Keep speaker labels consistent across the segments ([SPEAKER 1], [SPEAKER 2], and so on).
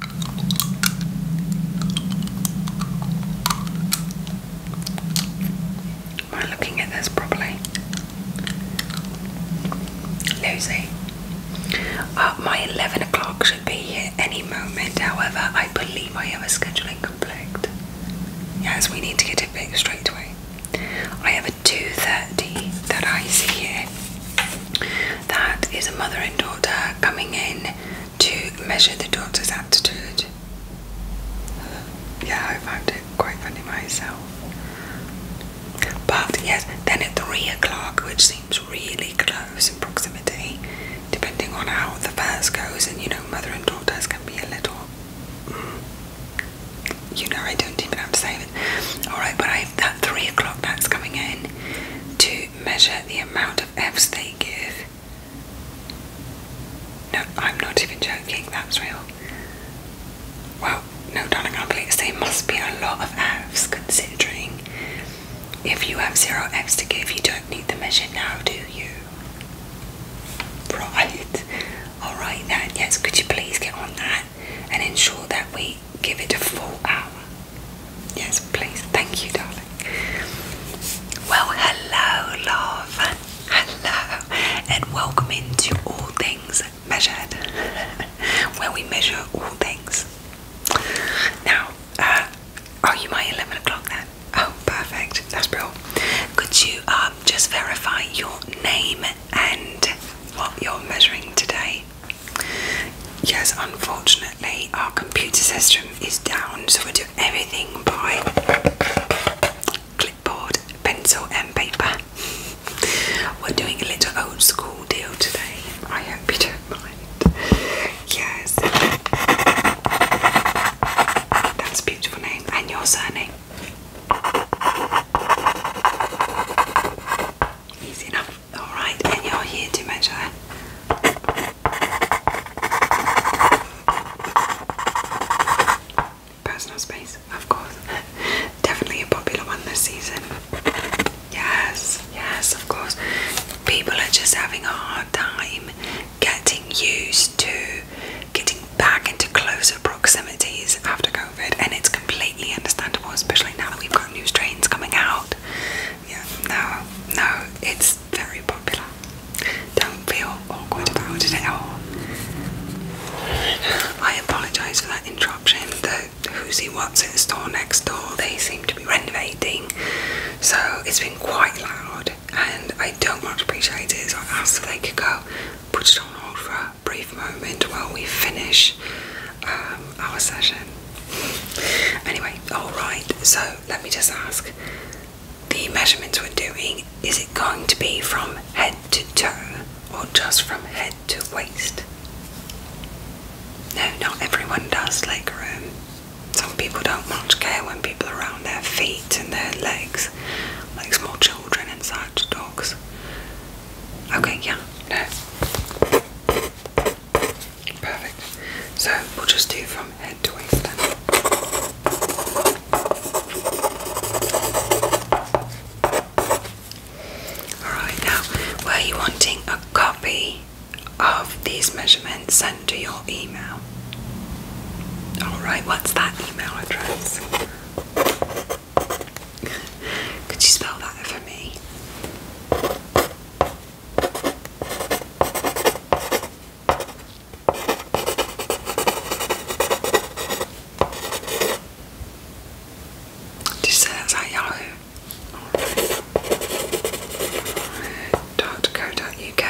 [SPEAKER 1] Am I looking at this properly? Lucy. Uh, my 11 o'clock should be here any moment, however, I believe I have a scheduling conflict. Yes, we need to get it fixed straight away. I have a 2.30 that I see here. That is a mother and daughter coming in to measure the daughter's attitude. Yeah, I found it quite funny myself. But yes, then at three o'clock, which seems really close in proximity, depending on how the first goes, and you know, mother and daughters can be a little. Mm, you know, I don't even have to say it. Alright, but I that three o'clock that's coming in to measure the amount of F's they give. No, I'm not even joking, that's real. Well, no, darling, I believe There must be a lot of F's considering if you have zero F's to give, you don't need the measure now, do you? Right. Alright, then, yes, could you please get on that and ensure that we give it a full hour. Yes, please. Thank you, darling. Well, hello, love. Hello, and welcome into All Things Measured, where we measure all things. Now, uh, are you my 11 o'clock then? Oh, perfect. That's brilliant. Could you um, just verify your name and what you're measuring today? Yes, unfortunately, our computer system is down, so we do everything by clipboard, pencil, and paper. We're doing a little old school deal today. I hope you don't mind. Yes. That's a beautiful name. And your surname? Easy enough. Alright, and you're here to Personal space, of course. Definitely a popular one this season. Yes, yes, of course. People are just having a hard time getting used to getting back into closer proximities after COVID, and it's completely understandable, especially now that we've got new strains coming out. Yeah, no, no, it's very popular. Don't feel awkward about it at all. I apologise for that interruption. The Who's in the store next door, they seem to be renovating, so it's been quite loud and I don't much appreciate it. So I asked if they could go put it on hold for a brief moment while we finish um, our session. Anyway, alright, so let me just ask the measurements we're doing is it going to be from head to toe or just from head to waist? No, not everyone does leg room. Some people don't much care when people are around their feet and their legs, like small children and such, dogs. Okay, yeah, no. Perfect. So we'll just do from head to waist Alright, now were you wanting a copy of these measurements sent to your email? Alright, what's that email address? Could you spell that for me? Did you say that at Yahoo? Dot co dot uk.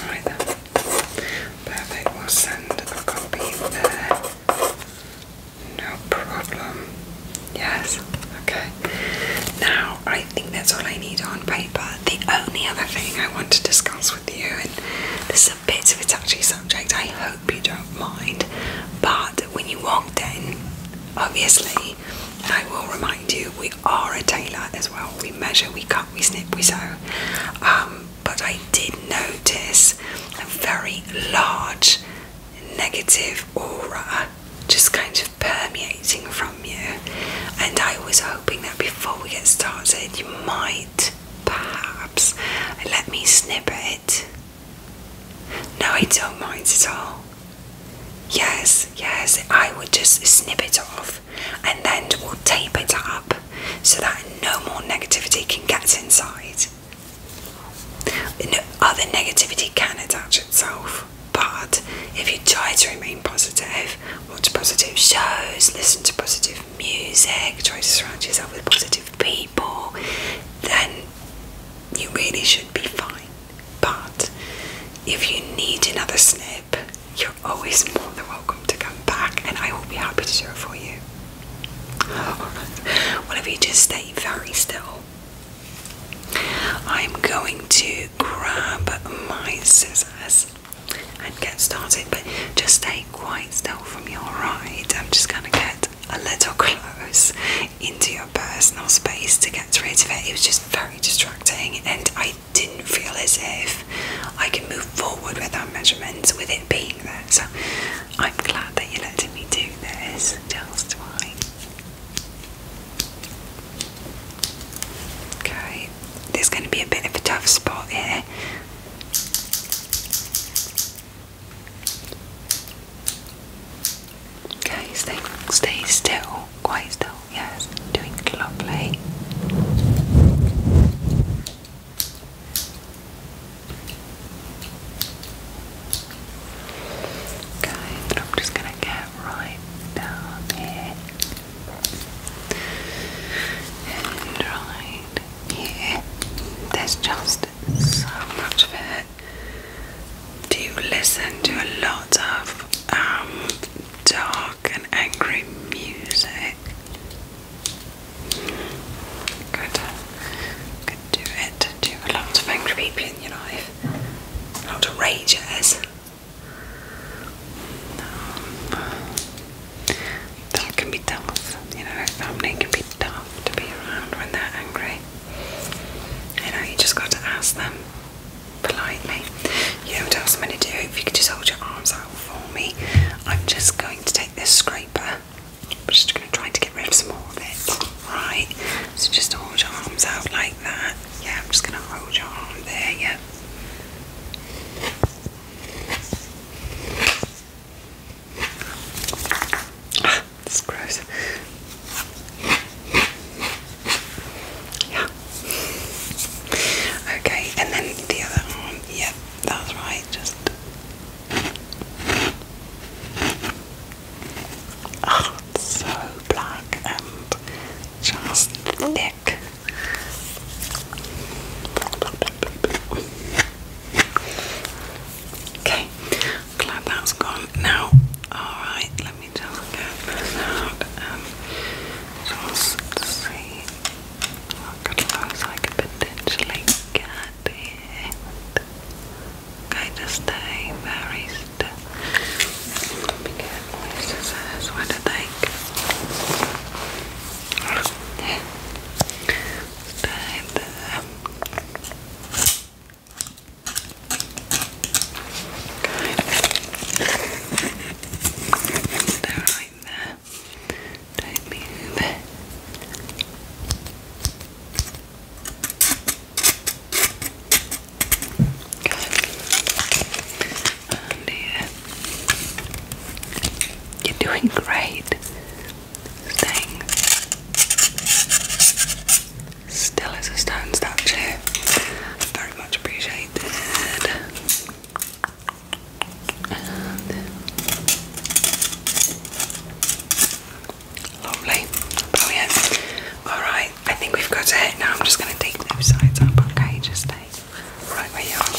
[SPEAKER 1] Alright then. Perfect, we'll send a copy there. No problem. Yes. Okay. Now, I think that's all I need on paper. The only other thing I want to discuss with you, and this is a bit of a touchy subject, I hope you don't mind, but when you walked in, obviously, and I will remind you, we are a tailor as well. We measure, we cut, we snip, we sew. Um, but I did notice a very large negative aura just kind of permeating from you. And I was hoping that before we get started, you might perhaps let me snip it. No, I don't mind at all. Yes, yes, I would just snip it off and then we'll tape it up so that no more negativity can get inside. Other negativity can attach itself, but if you try to remain positive, watch positive shows, listen to positive music, try to surround yourself with positive people, then you really should be fine. But if you need another snip, you're always more than welcome to come back, and I will be happy to do it for you. Alright, what if you just stay very still? I'm going to grab my scissors and get started, but just stay quite still from your right. I'm just going to get a little close into your personal space to get rid of it. It was just very distracting, and I didn't feel as if I could move forward with our measurements with it being there. So I'm glad that you're letting me do this. Just fine. Okay, there's going to be a bit of a tough spot here. Okay, stay, stay still, quite still, yes, doing lovely. Okay, and I'm just gonna get right down here and right here. There's just so much of it. Do you listen to a lot of um, dark and angry music? Good do it, do a lot of angry people in your life, a lot of rages. Um, that can be tough, you know, family can be tough to be around when they're angry. You know, you just got to ask them politely. You know what else i to do? If you could just hold your arms out for me, I'm just going to take this scraper. I'm just going to try to get rid of some more of it right? So just hold your arms out like that. Yeah, I'm just gonna hold your arm there, yeah. Ah, that's gross. Yeah. Okay, and then the other arm, yep, that's right, just Oh, it's so black and just thick. Okay, glad that's gone. Now, alright, let me just get and just see what oh, colors I could potentially get here kind of stay very still. Because this is what I think. Stay there. Stay right there. Don't move. And oh, You're doing great. Staying still as a stone statue. Very much appreciated. Lovely, brilliant. Alright, I think we've got it. Now I'm just going to take those sides up, okay? Just stay right where you are.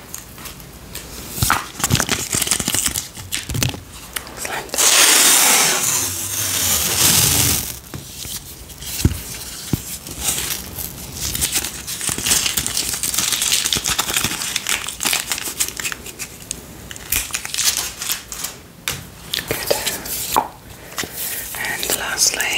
[SPEAKER 1] It's like that. Good. And lastly.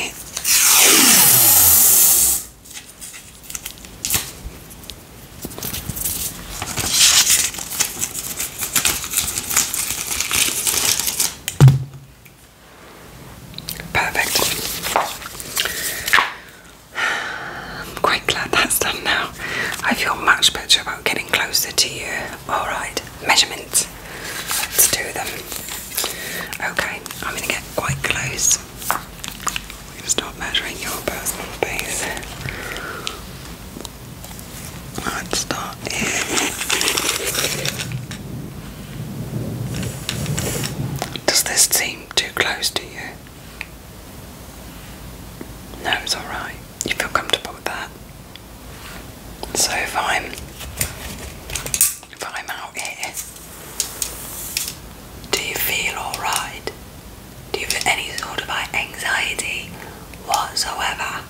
[SPEAKER 1] Perfect. I'm quite glad that's done now. I feel much better about getting closer to you. Alright, measurements. Let's do them. Okay, I'm going to get quite close. Please stop measuring your personal space. Let's start here. Does this seem too close to you? No, it's alright. You feel comfortable with that. So if I'm if I'm out here, do you feel alright? Do you have any sort of like anxiety whatsoever?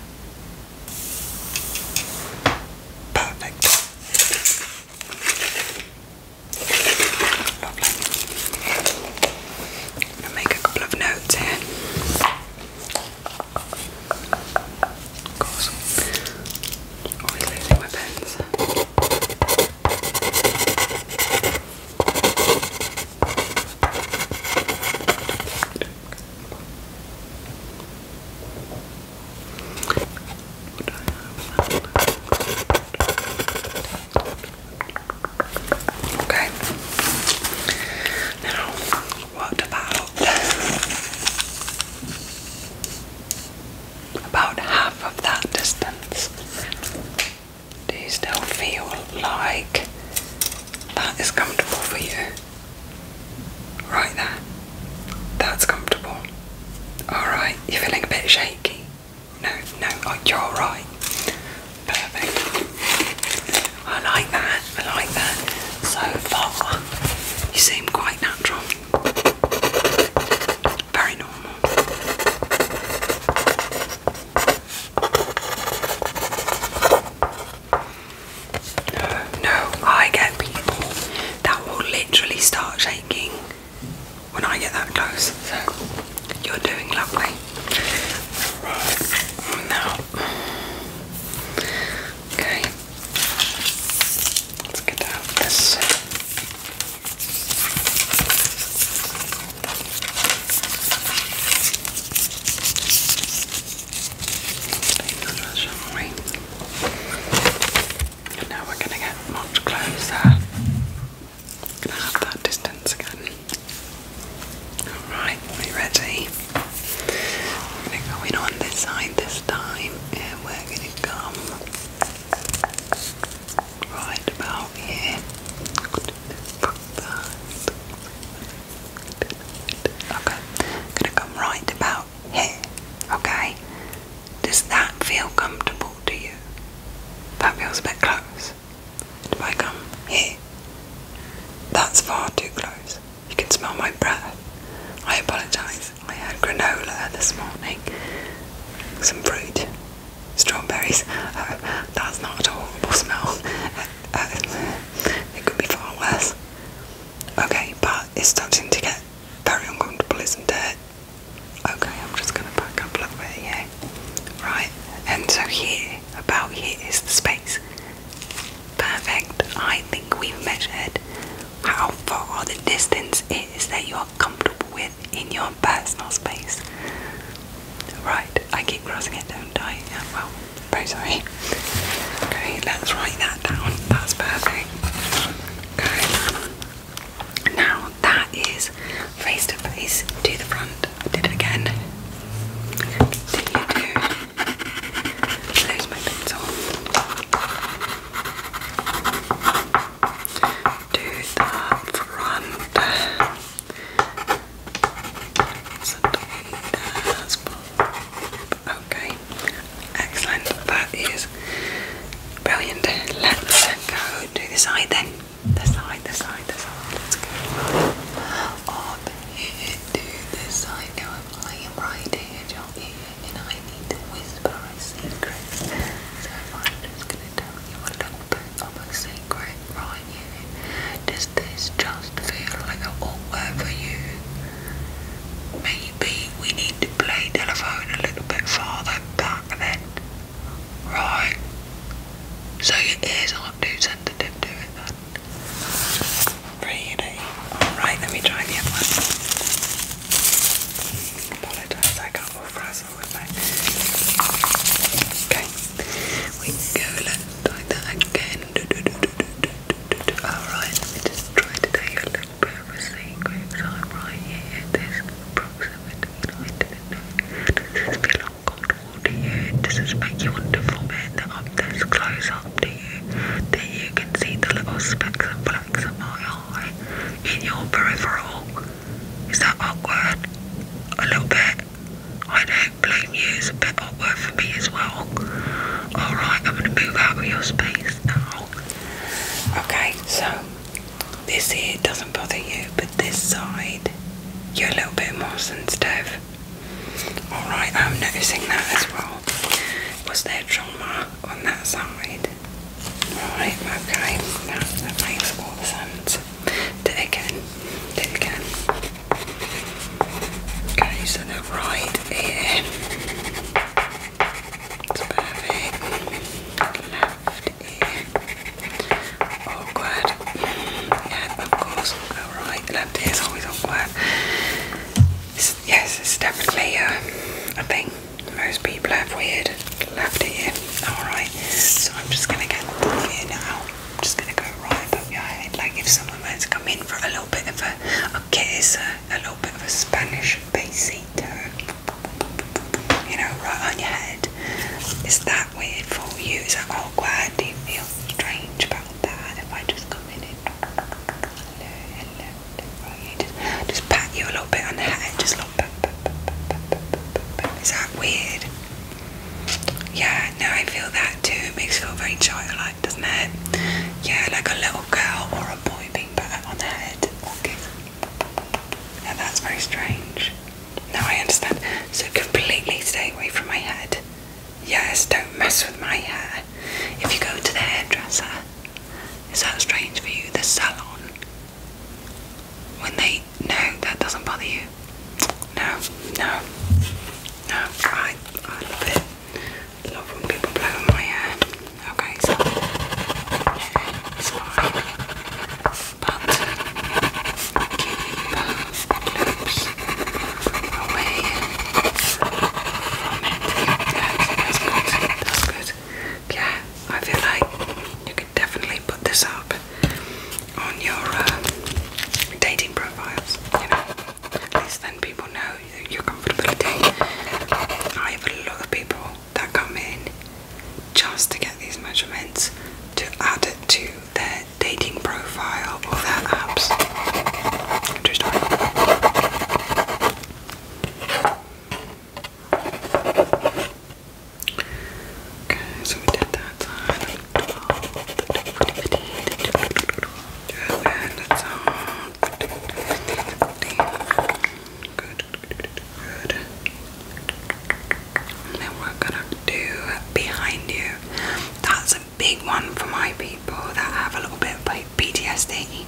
[SPEAKER 1] Perfect. Lovely. gonna make a couple of notes here. Of course. Always losing my pens. Okay. Now, what about about half of that distance? Do you still feel like that is comfortable for you? Right there. That's comfortable. Alright, you're feeling a bit shaky. No, no, oh, you're alright. Perfect. I like that, I like that. So far, you seem quite natural. Very normal. No, I get people that will literally start shaking when I get that close. So you're doing lovely. now, okay. Let's get out this we? now we're gonna get much closer. going that distance again. Alright, we ready? We're gonna go in on this side this time and we're gonna come right about here. Okay, I'm gonna come right about here. Okay, does that feel comfortable to you? That feels a bit close. If I come here, that's far too close. You can smell my breath. I apologise. I had granola this morning, some fruit, strawberries. Uh, that's not a horrible smell. Uh, uh, it could be far worse. Okay, but it's starting to get very uncomfortable, isn't it? Okay, I'm just going to back up a little bit here. Right, and so here, about here, is the space. Perfect. I think we've measured how far the distance is that you are comfortable with in your personal space. Right, I keep crossing it, don't I? Yeah, well, very sorry. Okay, let's write that down. That's perfect. Okay. Now that is face to face to the front. did it again. Continue to lose my pencil. To the front okay, excellent. That is brilliant. Let's go do the side then. The side, the side, the side. Let's go up here the side. Now I am right here, your ear, and I need to whisper a secret. So I'm gonna tell you a little almost a secret, right, you, does this just feel like a awkward for you? Maybe we need to play telephone a little bit farther back then. Right. So your ears aren't too sensitive to it then. Really? Alright, let me try the other one. Apologise, I got all frazzled with my... Okay. We go Try that again. Alright, just try to take a little bit of a secret. I'm right here. There's approximately, I didn't know. Does this feel uncomfortable to you? Does this make you want to I'm this close up to you. That you can see the little specks and blacks of my eye in your peripheral. Is that awkward? A little bit. I know blame you, is a bit awkward for me as well. Alright, I'm going to move out of your space now. Okay, so this here doesn't bother you, but this side, you're a little bit more sensitive. Alright, I'm noticing that as well. Was there trauma on that side? Right, okay, that, that makes all the sense. There again. There again. Okay, so the right ear. perfect. Left ear. Awkward. Yeah, of course. Alright, left ear is always awkward. yes, it's definitely um, a thing. Most people have weird left ear. Alright, so I'm just going to get the ear now. I'm just gonna go right above your head, like if someone wants to come in for a little bit of a, a kiss, a, a little bit of a Spanish besito, you know, right on your head. Is that weird for you? Is that awkward? Do you feel strange about that? If I just come in and hello, hello, hello. Just, just pat you a little bit on the head, just a little pat, pat, pat, pat, pat, pat, pat, pat. Is that weird? Yeah, no, I feel that too. It makes you feel very childlike, doesn't it? Yeah, like a little girl or a boy being put on the head. Okay. Yeah, that's very strange. Now I understand. So completely stay away from my head. Yes, don't mess with my hair. If you go to the hairdresser, is that strange for you? The salon. When they no, that doesn't bother you. No, no, no. I, I love it. love when people blow my hair. Okay, so it's fine. But Yeah, I feel like you could definitely put this up on your uh, dating profiles. You know, at least then people know you're comfortable dating. I have a lot of people that come in just to get these measurements to add it to their dating profile or their apps. Just Okay, so we did that Good, we're gonna do behind you. That's a big one for my people that have a little bit of PTSD,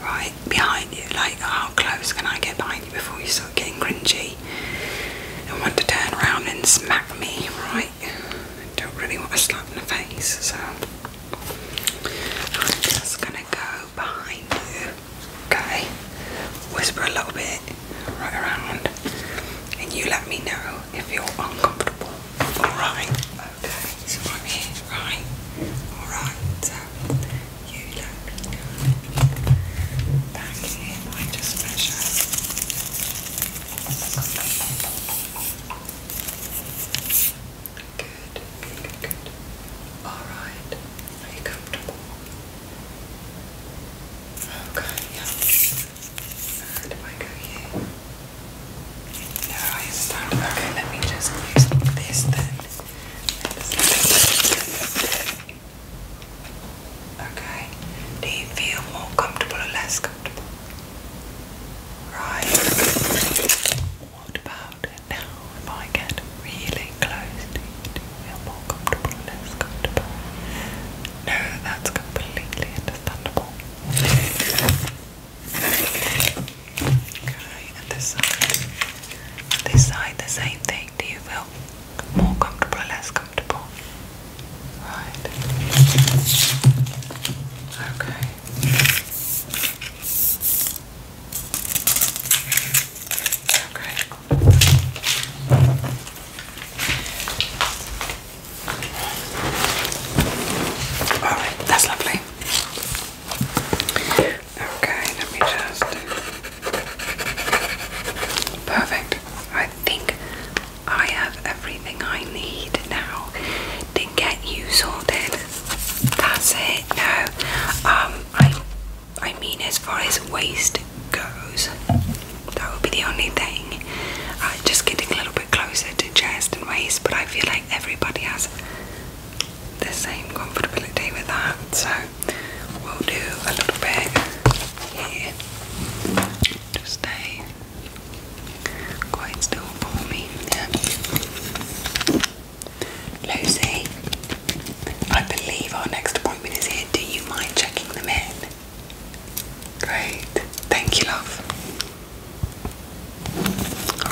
[SPEAKER 1] right? Behind you, like how close can I get behind you before you start getting cringy and want to turn around and smack me, right? I don't really want to slap in the face, so I'm just gonna go behind you, okay? Whisper a little bit right around, and you let me know if you're uncomfortable. Alright, okay, so I'm here, right? Alright, so you let me know. Back here, I just measure. Good, good, good, good. Alright. Are you comfortable? Okay, yeah. And if I go here. No, I start. Okay, let me just use this then. Let's Okay. Do you feel more comfortable or less comfortable? Right. What about now? If I get really close to you, do you feel more comfortable or less comfortable? No, that's completely understandable. Okay, and this side. This side, the same thing. Do you feel more comfortable or less comfortable? Right. Okay. Okay. All right, that's lovely. Okay, let me just. Perfect. I think I have everything I need now to get you sorted. That's it now. Um, I, I mean, as far as waist goes, that would be the only thing. Uh, just getting a little bit closer to chest and waist, but I feel like everybody has the same comfortability with that, so we'll do a little bit Yeah, to stay. Quite still for me, yeah. Lucy, I believe our next appointment is here. Do you mind checking them in? Great. Thank you, love.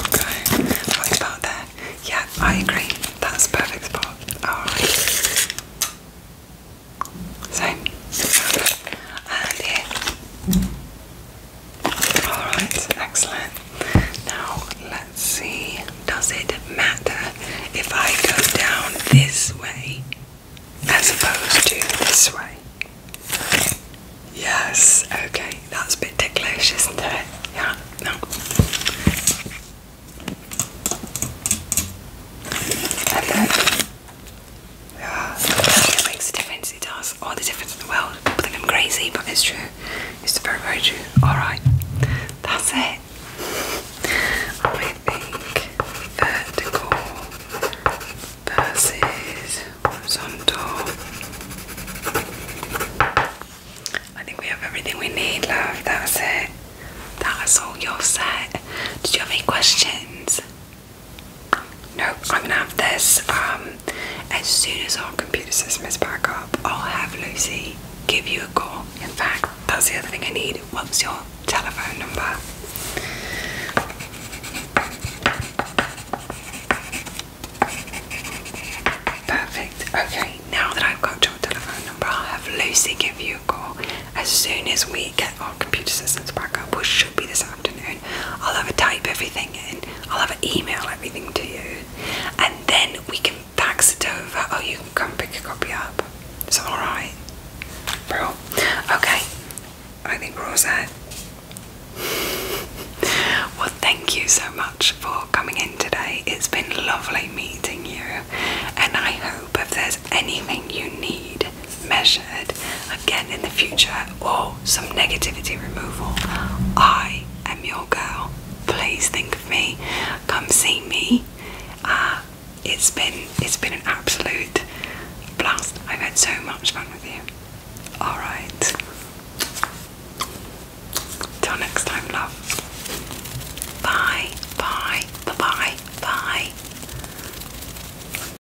[SPEAKER 1] Okay. What about there? Yeah, I agree. That's a perfect spot. Alright. Same. And here. Alright, excellent. Now let's see. Does it matter if I go down this way as opposed to this way? Yes, okay, that's a bit ticklish, isn't it? Yeah, no. And then yeah, it makes a difference. It does all the difference in the world. People think I'm crazy, but it's true. It's very, very true. All right, that's it. I think vertical versus horizontal. I think we have everything we need, love. That's it. That's all your set. Did you have any questions? Nope, I'm gonna have this. Um, as soon as our computer system is back up, I'll have Lucy give you a call. In fact, that's the other thing I need. What's your telephone number? Perfect. Okay, now that I've got your telephone number, I'll have Lucy give you a call. As soon as we get our computer systems back up, we'll be this afternoon. I'll have a type everything in, I'll have an email everything to you, and then we can fax it over or oh, you can come pick a copy up. Is alright? Bro. Okay. I think we're all set. Well, thank you so much for coming in today. It's been lovely meeting you, and I hope if there's anything you need, measured again in the future or some negativity removal. I am your girl. Please think of me. Come see me. Uh, it's been it's been an absolute blast. I've had so much fun with you. Alright. Till next time, love. Bye, bye, bye, bye, bye.